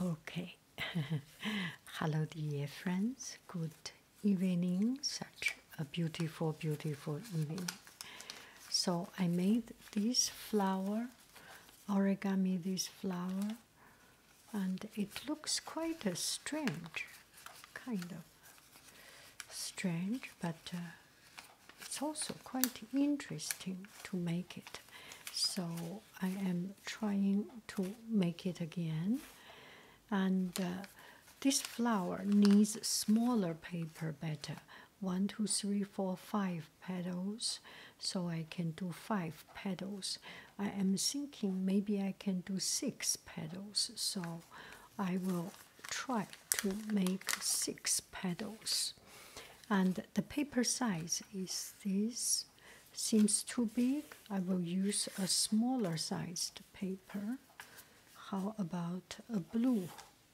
Okay. Hello, dear friends. Good evening. Such a beautiful, beautiful evening. So, I made this flower origami, this flower, and it looks quite a strange, kind of strange, but uh, it's also quite interesting to make it. So I am trying to make it again. And uh, this flower needs smaller paper better. One, two, three, four, five petals. So I can do five petals. I am thinking maybe I can do six petals. So I will try to make six petals. And the, paper size is this seems too big i will use a smaller sized paper how about a blue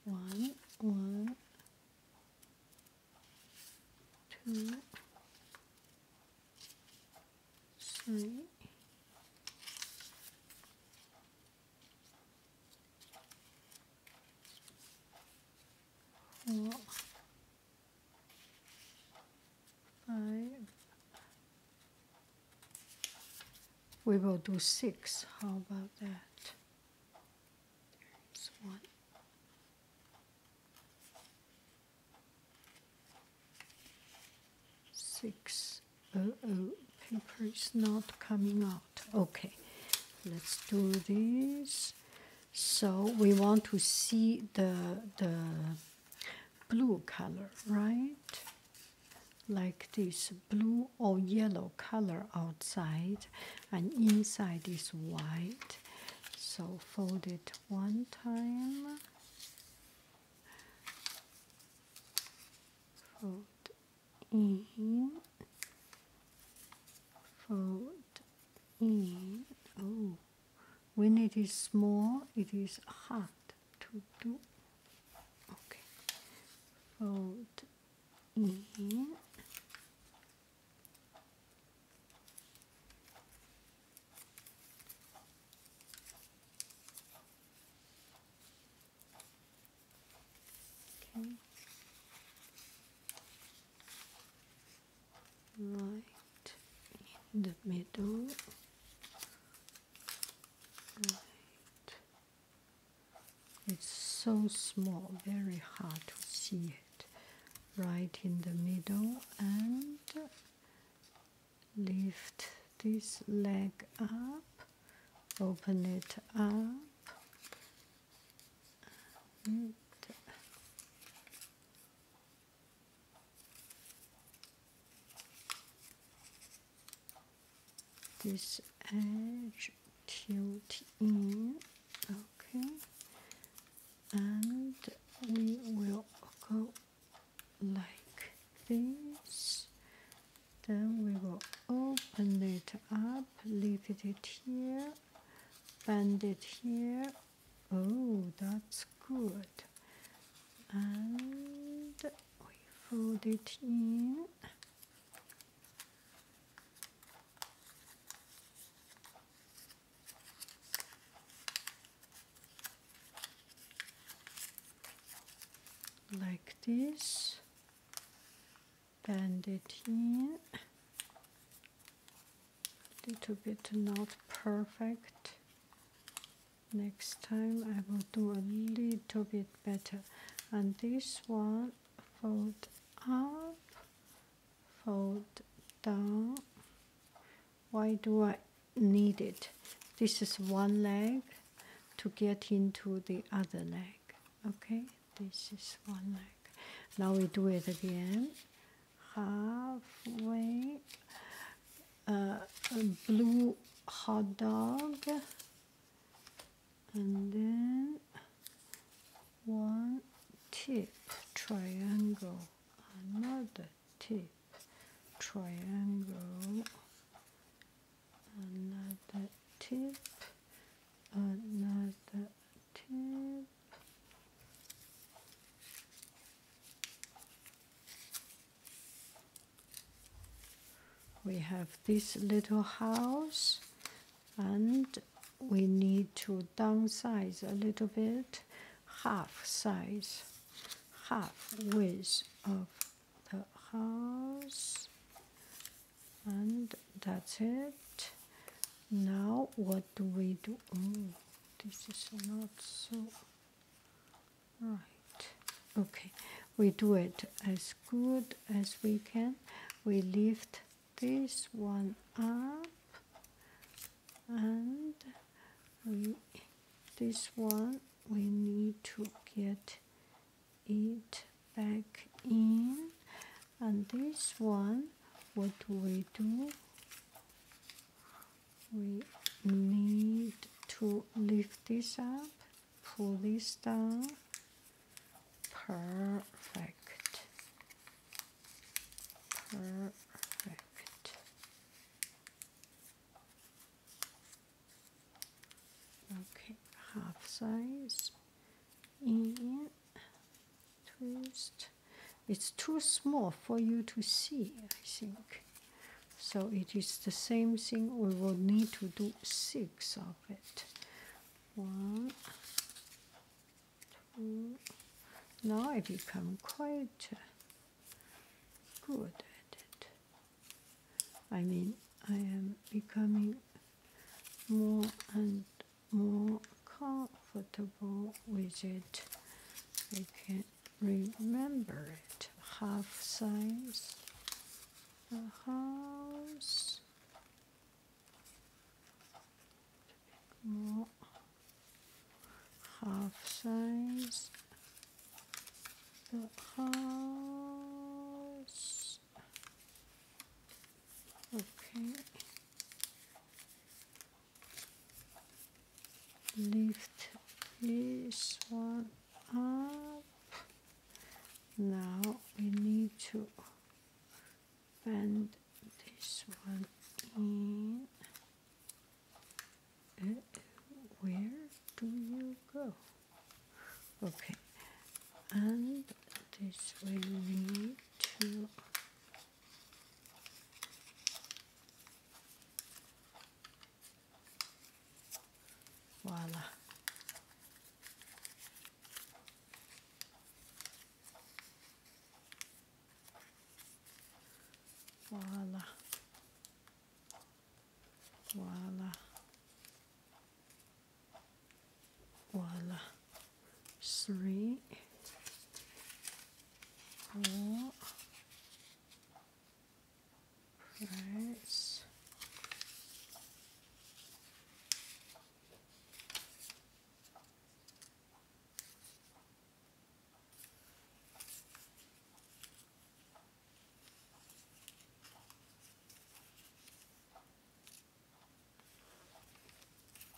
one one two three four five. We will do six. How about that? There's one. Six. oh, paper is not coming out. Okay, let's do these so we want to see the the blue color right like this blue or yellow color outside and inside is white so fold it one time fold in fold in oh when it is small, it is hard to do. Okay, fold in. Okay right in the middle right it's so small very hard to see it right in the middle and lift this leg up open it up and this edge tilt in okay and we will go like this then we will open it up lift it here bend it here Oh, that's good. And we fold it in. Like this, bend it in, little bit not perfect next time I will do a little bit better and this one fold up fold down why do I need it this is one leg to get into the other leg okay this is one leg now we do it again halfway uh, a blue hot dog and then one tip triangle another tip triangle another tip another tip we have this little house and we need to downsize a little bit, half size, half width of the house. And that's it. Now what do we do? this is not so right okay we do it as good as we can we lift this one up and we this one we need to get it back in and this one what do we do we need to lift this up, pull this down. Perfect. Perfect. Okay, half size in, twist. It's too small for you to see, I think. So it is the same thing. We will need to do six of it. One, two. Now I become quite uh, good at it. I mean, I am becoming more and more comfortable with it. I can remember it. Half size, a house, half size, the house. Okay lift this one up now we need to bend this one in uh, where do you go okay and this will need to Voilà. Voilà. Voilà. Voilà. Three all price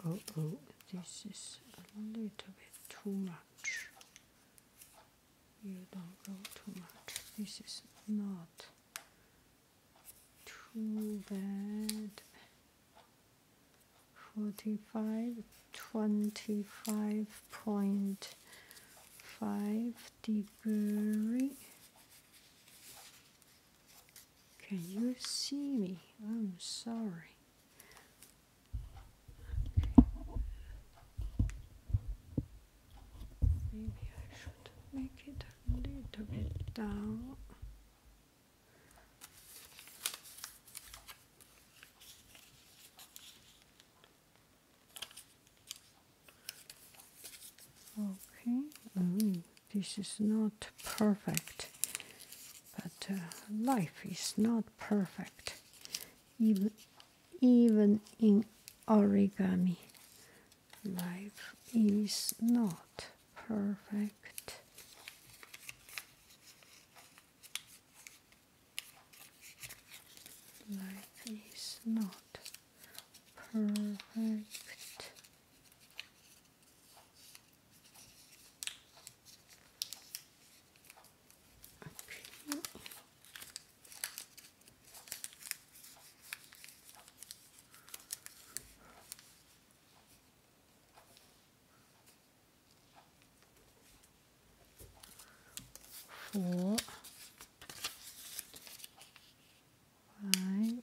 oh, oh, this is a little bit too much you don't go too much. This is not too bad. 45, 25.5 degree. Can you see me? I'm sorry. Maybe I should make it a little down. Okay, oh, this is not perfect, but uh, life is not perfect even even in origami life is not perfect life is not perfect Okay. Four, five,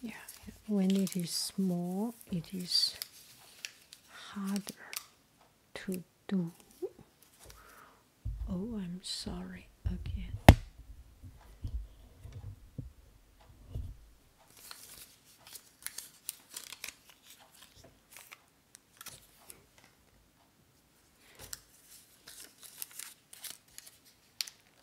yeah when it is small it is harder to do oh i'm sorry again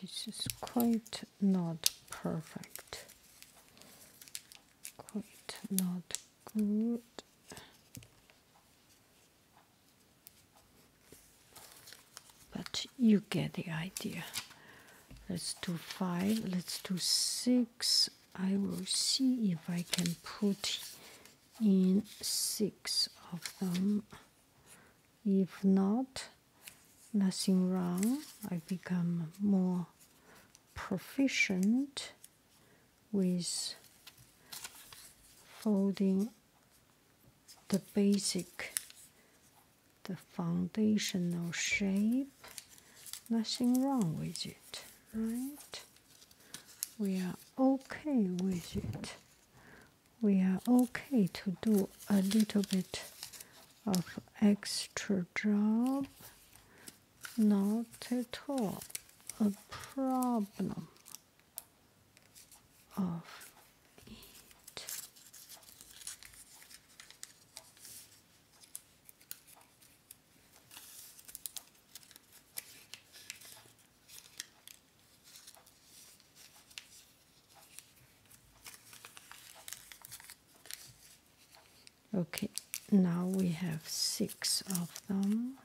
This is quite not perfect, quite not good. But you get the idea. Let's do five, let's do six. I will see if I can put in six of them. If not, nothing wrong. I become more proficient with folding the basic, the foundational shape. Nothing wrong with it, right? we are okay with it. We are okay to do a little bit of extra job. Not at all a problem of it. Okay, now we have six of them.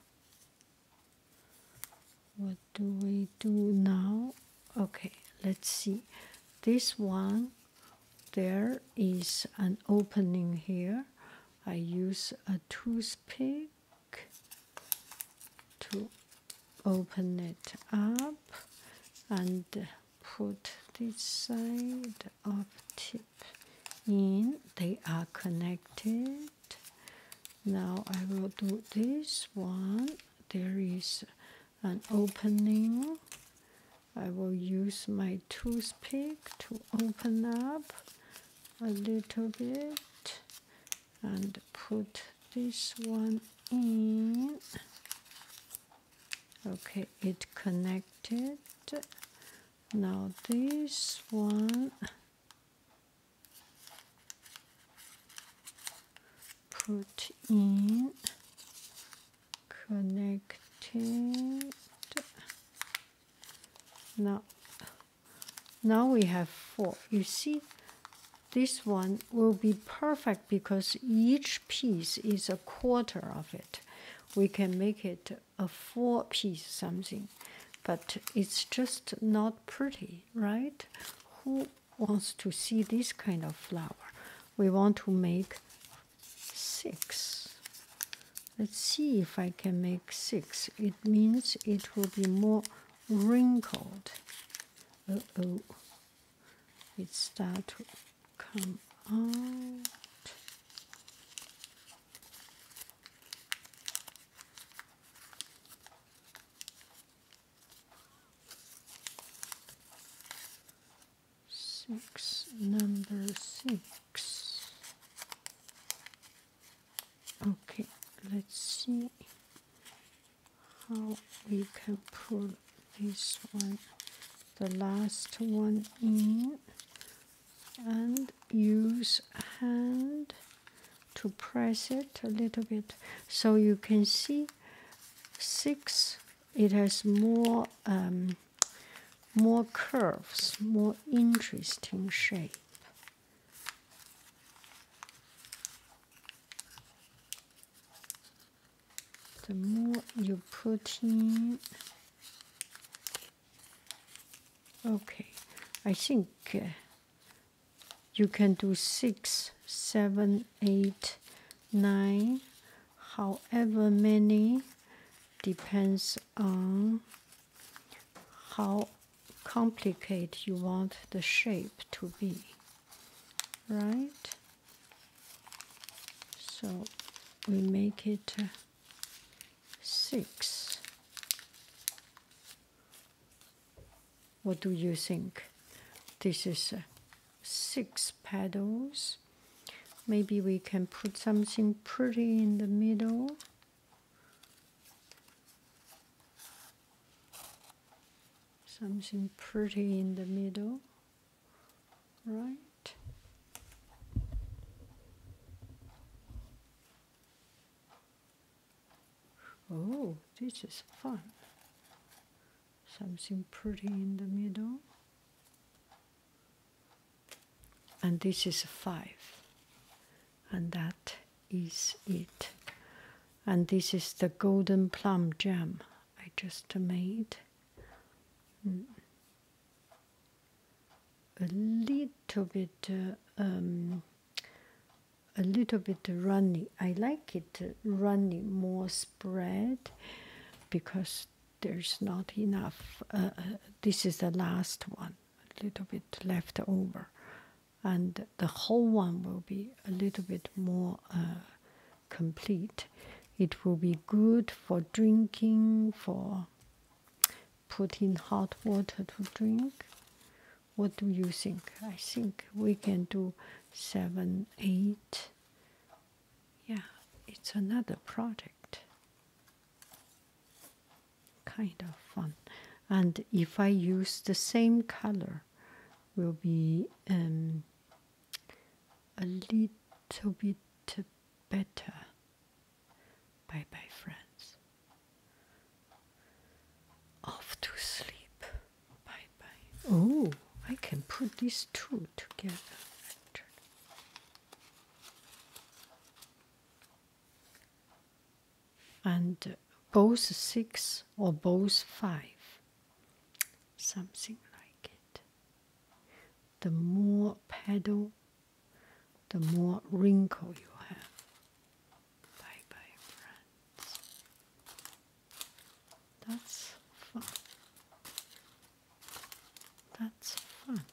What do we do now? Okay, let's see. This one, there is an opening here. I use a toothpick to open it up and put this side of tip in. They are connected. Now I will do this one. There is an opening. I will use my toothpick to open up a little bit and put this one in. Okay, it connected. Now this one put in connected now now we have four. You see, this one will be perfect because each piece is a quarter of it. We can make it a four piece something, but it's just not pretty, right? Who wants to see this kind of flower? We want to make six. Let's see if I can make six. It means it will be more wrinkled. Uh oh, it start to come out. Six number six. Okay, let's see how we can pull this one, the last one in, and use hand to press it a little bit. So you can see six, it has more, um, more curves, more interesting shape the more you put in okay I think uh, you can do six seven eight nine however many depends on how complicate you want the shape to be, right? So we make it uh, six. What do you think? This is uh, six petals. Maybe we can put something pretty in the middle. Something pretty in the middle, right? Oh, this is fun. Something pretty in the middle. And this is five and that is it. And this is the golden plum jam I just made. Mm. A little bit, uh, um, a little bit runny. I like it runny more spread because there's not enough. Uh, uh, this is the last one, a little bit left over and the whole one will be a little bit more uh, complete. It will be good for drinking, for putting hot water to drink. What do you think? I think we can do seven, eight. Yeah, it's another product kind of fun. And if I use the same color, will be um, a little bit better. Bye bye, friends. Off to sleep. Bye bye. Oh, I can put these two together and both six or both five, something like it. The more paddle, the more wrinkle you have. Bye bye, friends. That's fun. That's fun.